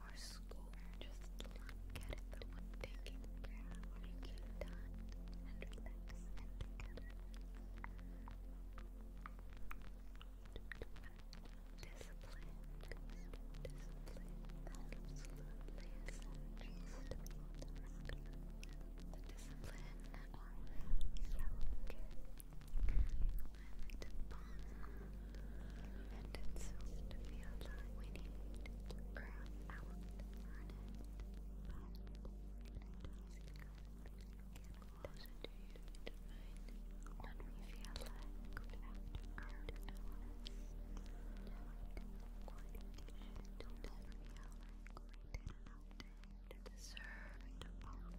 or school. Just look it the taking care when you and relax and together. Discipline, discipline, absolutely essential to discipline planet Bond. And it seems to be a lie we need to grab out planet Bond. Does it do you to mind when we feel like good after hours? Quite should never feel like we deserve to follow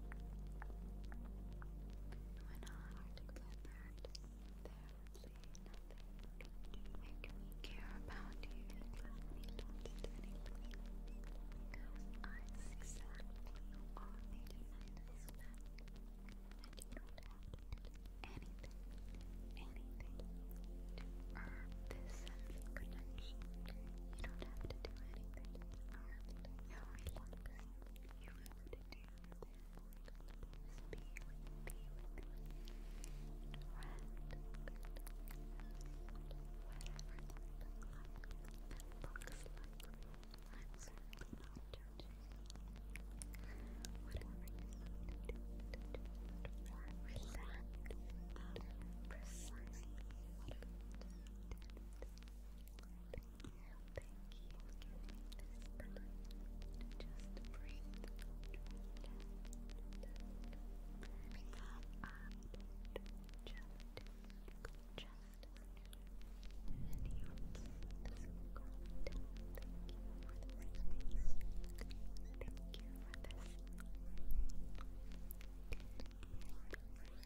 When I declared there would nothing to care about you, me not anymore, because I see that you are making this you don't have to do anything, anything to this connection. You don't have to do anything you would do this. Be with, be with me. Whatever looks like. I'm certainly not judging. Whatever you need to do, relax. Precisely what I Thank you for giving me this time just breathe. Because I don't just just any else is content. Thank you for the race. Thank you for this.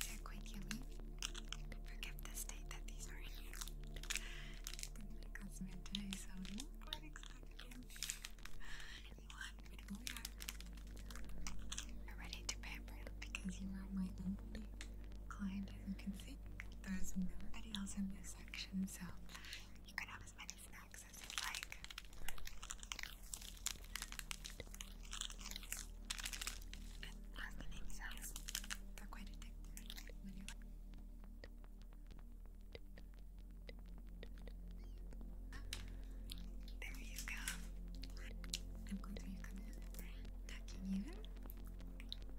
These are quite yummy. Forget the state that these are in. Didn't today, so I'm quite excited. Anyone, but we are. ready to pamper because you are my only client, as you can see. There's nobody else in this section, so you can have as many snacks as you like. Marketing sounds are quite addictive when you like there you go. I'm going to come in tucking you in.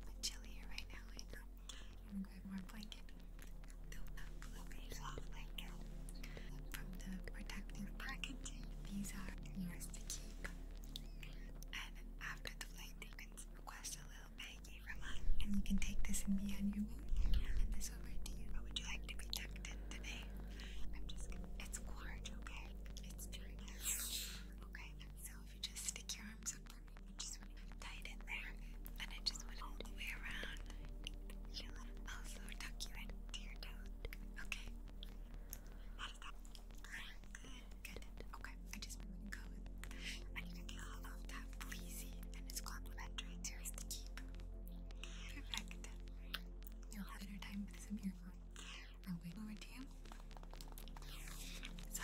It's chilly here right now, I am going to grab more blanket. Build up a soft blanket from the protective packaging. These are yours to keep. And after the flight, you can request a little baggie from and you can take this and be on your way. And this over to you. How would you like to be tucked in today? I'm just It's large, okay? It's very Okay, so if you just stick your arms up for me, you just want to tie it in there, and I just want all the way around. She'll also tuck you into your toes. Okay, how does Okay, I just want to go with I need get all of that fleecy and it's complimentary to his to Perfect. You'll have dinner time with some earphone. I'll wait over to you. So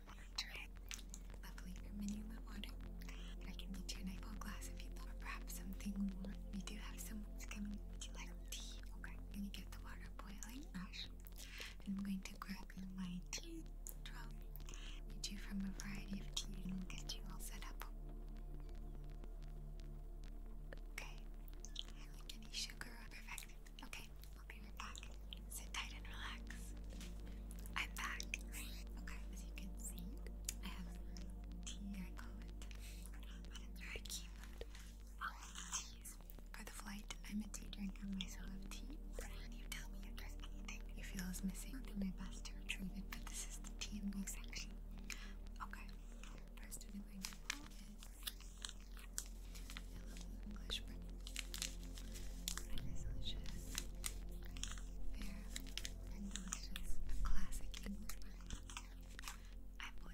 I'm going your menu went water. I can meet you an apple glass if you'd like, or perhaps something warm. We do have someone's coming. Would you like tea? Okay, I'm gonna get the water boiling, Ash. And I'm going to grab my tea drum. We do from a variety of tea and we'll get you all set up. Okay. any sugar perfect. Okay, I'll be right back. Sit tight and relax. I'm back. Okay, as you can see, I have tea, I call it. I do For the flight, I'm a tea drinker myself tea. You tell me if there's anything you feel is missing, I'll do my best to retrieve it, but this is the tea and milk Okay, first thing I'm going to pull is English bread. Bread is delicious. Fair and delicious. classic English bread. I'm a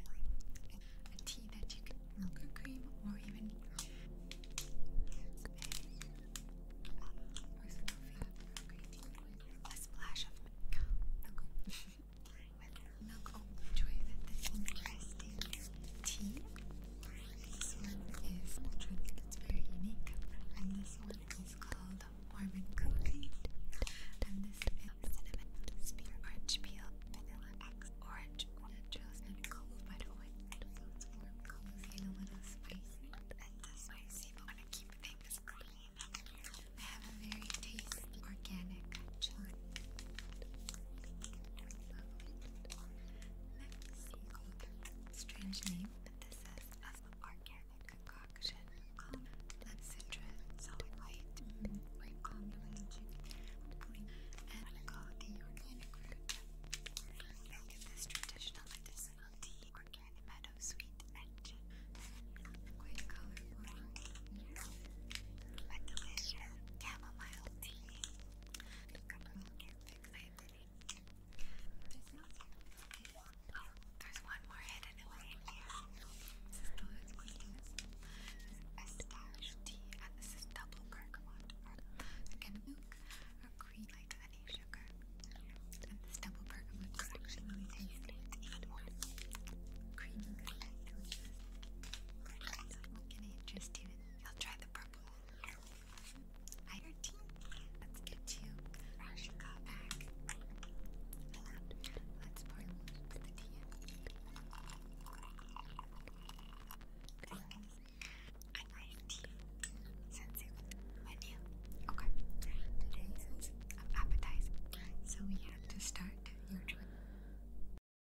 tea that you can milk cream or even A splash of milk. With milk interesting tea this one is electronic, it's very unique. And this one is called Warm and And this is cinnamon, spear, orange peel, vanilla X, orange, natural, and cold, by the way. So it's warm, cozy, a little spicy. And the spicy, but want things clean. I have a very tasty organic chili. Strange name, but this is a organic concoction of blood citra, solid white, white condiment, green, and go the organic root. Look this traditional medicinal tea, organic meadow sweet, and quite colorful, but delicious chamomile tea. There's one more hidden away here. This is the last one. This and this is double bergamot. Again, milk like any sugar. And this double bergamot is actually really tasty. even more creamy than delicious. But I can eat just even I'll try the purple. Hi, team. Let's get you fresh back. Let's pour a tea I like tea. Since it was Okay. Today's is So we have to start your